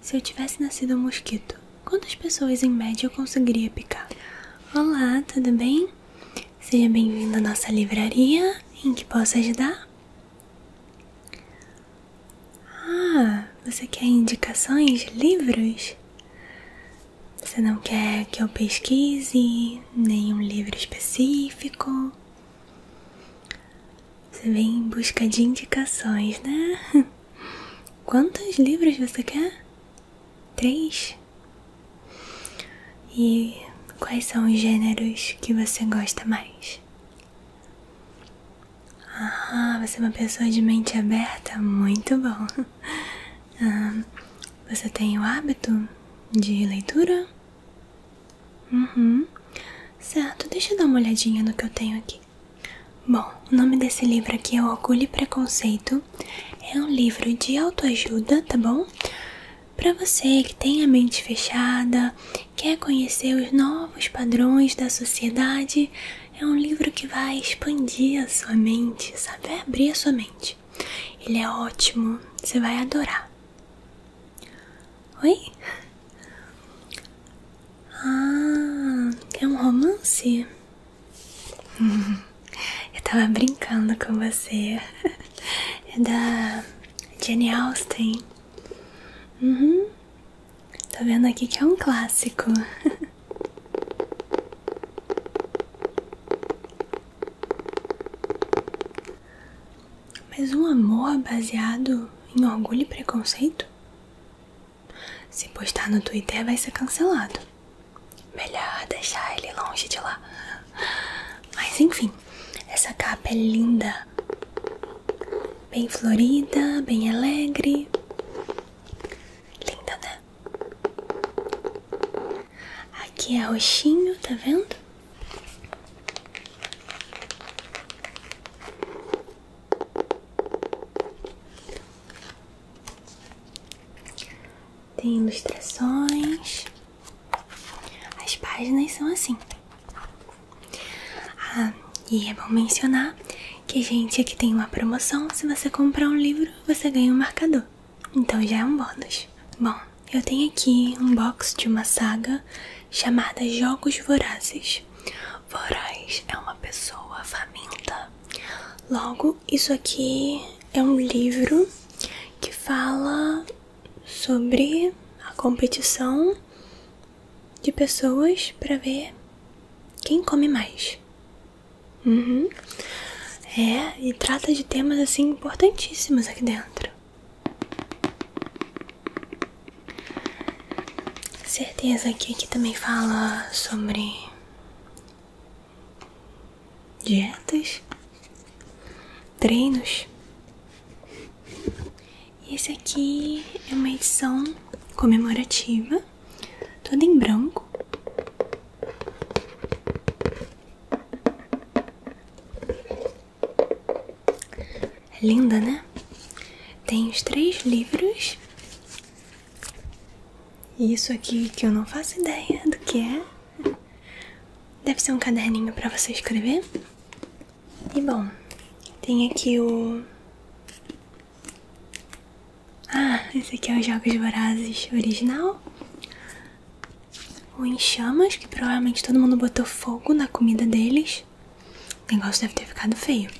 Se eu tivesse nascido um mosquito, quantas pessoas em média eu conseguiria picar? Olá, tudo bem? Seja bem-vindo à nossa livraria. Em que posso ajudar? Ah, você quer indicações de livros? Você não quer que eu pesquise nenhum livro específico? Você vem em busca de indicações, né? Quantos livros você quer? Três? E quais são os gêneros que você gosta mais? Ah, você é uma pessoa de mente aberta, muito bom. Ah, você tem o hábito de leitura? Uhum. Certo, deixa eu dar uma olhadinha no que eu tenho aqui. Bom, o nome desse livro aqui é Orgulho e Preconceito. É um livro de autoajuda, tá bom? Para você que tem a mente fechada, quer conhecer os novos padrões da sociedade, é um livro que vai expandir a sua mente, sabe? abrir a sua mente. Ele é ótimo, você vai adorar. Oi? Ah, é um romance? Eu tava brincando com você. É da Jane Austen. Uhum. Tô vendo aqui que é um clássico. Mas um amor baseado em orgulho e preconceito? Se postar no Twitter, vai ser cancelado. Melhor deixar ele longe de lá. Mas enfim, essa capa é linda. Bem florida, bem alegre. Linda, né? Aqui é roxinho, tá vendo? Tem ilustrações. As páginas são assim. Ah, e é bom mencionar que, gente, aqui tem uma promoção. Se você comprar um livro, você ganha um marcador. Então já é um bônus. Bom, eu tenho aqui um box de uma saga chamada Jogos Vorazes. Voraz é uma pessoa faminta. Logo, isso aqui é um livro que fala sobre a competição de pessoas para ver quem come mais. Uhum. É, e trata de temas assim importantíssimos aqui dentro. Certeza que aqui também fala sobre dietas, treinos. Esse aqui é uma edição comemorativa, toda em branco. É linda, né? Tem os três livros. E isso aqui que eu não faço ideia do que é. Deve ser um caderninho para você escrever. E bom, tem aqui o. Ah, esse aqui é o Jogos Vorazes original. O Em Chamas, que provavelmente todo mundo botou fogo na comida deles o negócio deve ter ficado feio.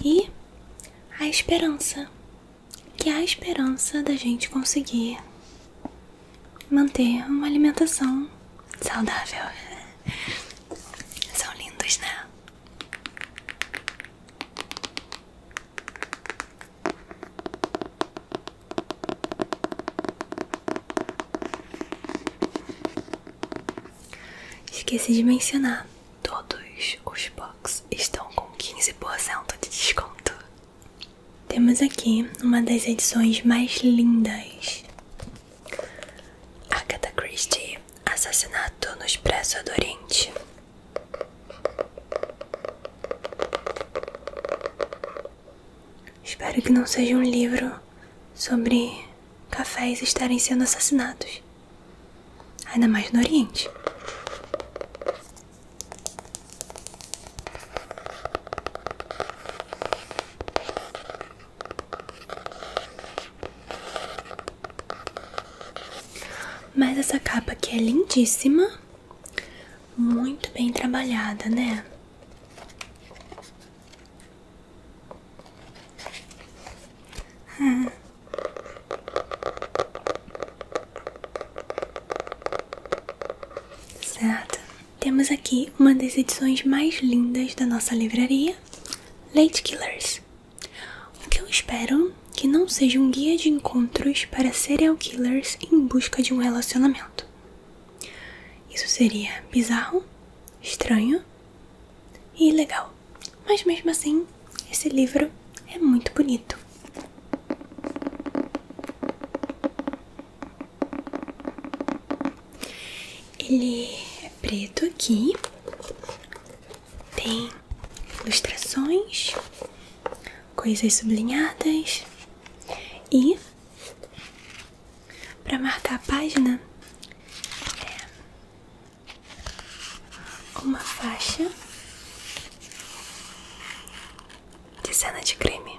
E a esperança. Que a esperança da gente conseguir manter uma alimentação saudável. São lindos, né? Esqueci de mencionar, todos os boxes estão com 15% de desconto. Temos aqui uma das edições mais lindas. Agatha Christie, Assassinato no Expresso do Oriente. Espero que não seja um livro sobre cafés estarem sendo assassinados. Ainda mais no Oriente. Mas essa capa aqui é lindíssima, muito bem trabalhada, né? Certo. Temos aqui uma das edições mais lindas da nossa livraria, Late Killers. O que eu espero que não seja um guia de encontros para serial killers em busca de um relacionamento. Isso seria bizarro, estranho e legal, mas mesmo assim, esse livro é muito bonito. Ele é preto aqui, tem ilustrações, coisas sublinhadas e para marcar a página, é uma faixa de cena de creme.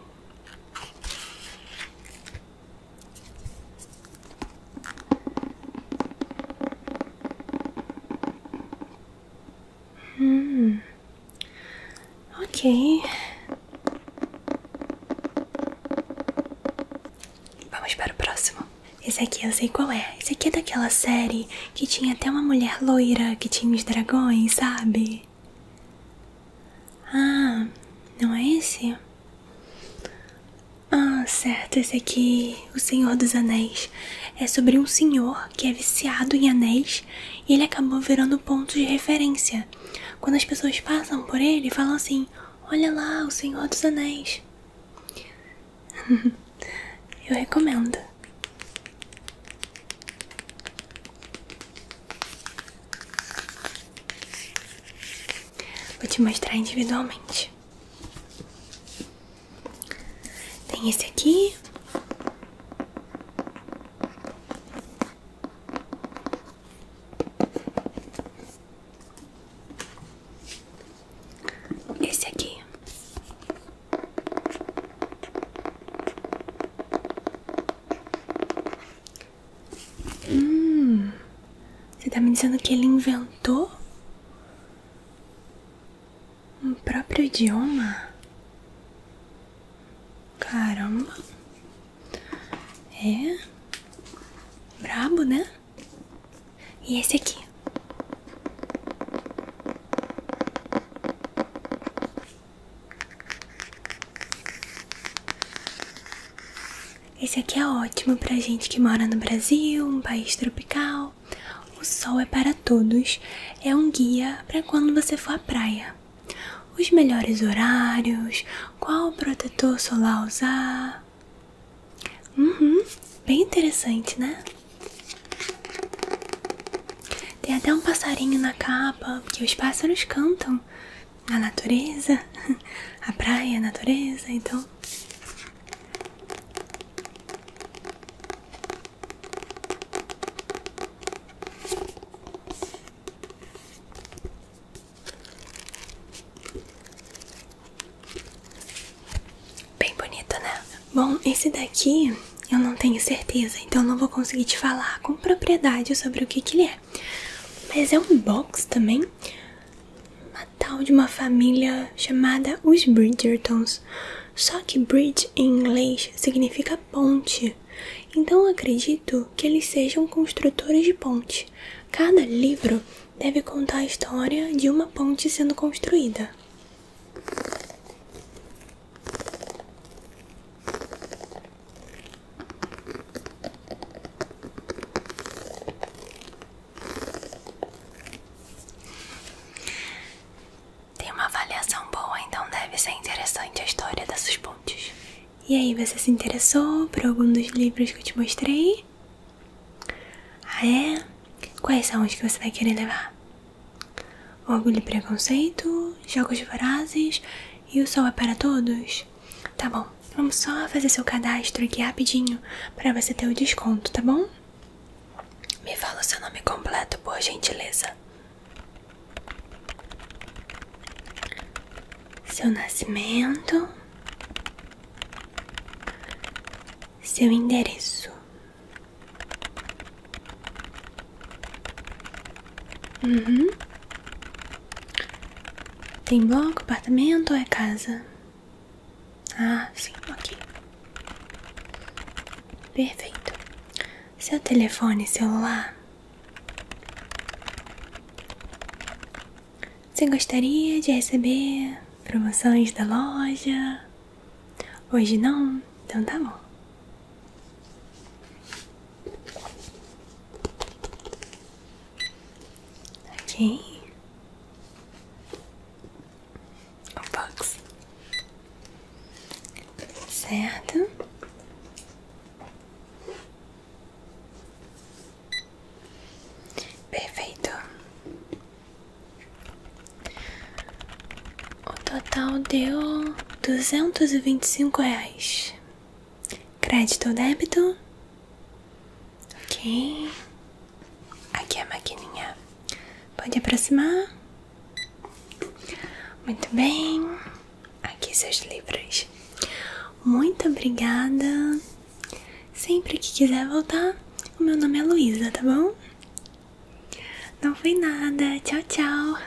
Hum, ok. Vamos para o próximo. Esse aqui eu sei qual é. Esse aqui é daquela série que tinha até uma mulher loira que tinha os dragões, sabe? Ah, não é esse? Ah, certo, esse aqui, O Senhor dos Anéis. É sobre um senhor que é viciado em anéis e ele acabou virando ponto de referência. Quando as pessoas passam por ele, falam assim: Olha lá, O Senhor dos Anéis. Eu recomendo. Vou te mostrar individualmente. Tem esse aqui. Esse aqui Hum, você tá me dizendo que ele inventou um próprio idioma? Caramba, é. Brabo, né? E esse aqui? Esse aqui é ótimo para gente que mora no Brasil, um país tropical. O sol é para todos. É um guia para quando você for à praia. Os melhores horários, qual protetor solar usar. Uhum, bem interessante, né? Tem até um passarinho na capa, porque os pássaros cantam na natureza, a praia, a natureza, então. Bem bonito, né? Bom, esse daqui eu não tenho certeza, então não vou conseguir te falar com propriedade sobre o que, que ele é. Mas é um box também, uma tal de uma família chamada os Bridgertons. Só que bridge em inglês significa ponte, então eu acredito que eles sejam construtores de ponte. Cada livro deve contar a história de uma ponte sendo construída. Tem uma avaliação boa, então deve ser interessante a história dessas pontes. E aí, você se interessou por algum dos livros que eu te mostrei? Ah, é? Quais são os que você vai querer levar? O Orgulho e Preconceito, Jogos Vorazes e O Sol é para Todos? Tá bom, vamos só fazer seu cadastro aqui rapidinho para você ter o desconto, tá bom? Me fala o seu nome completo, por gentileza seu nascimento, seu endereço. Uhum. Tem bloco, apartamento ou é casa? Ah, sim, ok. Perfeito. Seu telefone celular? Você gostaria de receber promoções da loja? Hoje não? Então tá bom. Ok. O box. Certo. Perfeito. O total deu duzentos e vinte e cinco reais. Crédito ou débito? Ok. Aqui é a maquininha. Pode aproximar? Muito bem aqui seus livros. Muito obrigada. Sempre que quiser voltar, o meu nome é Luísa, tá bom? Não foi nada. Tchau, tchau.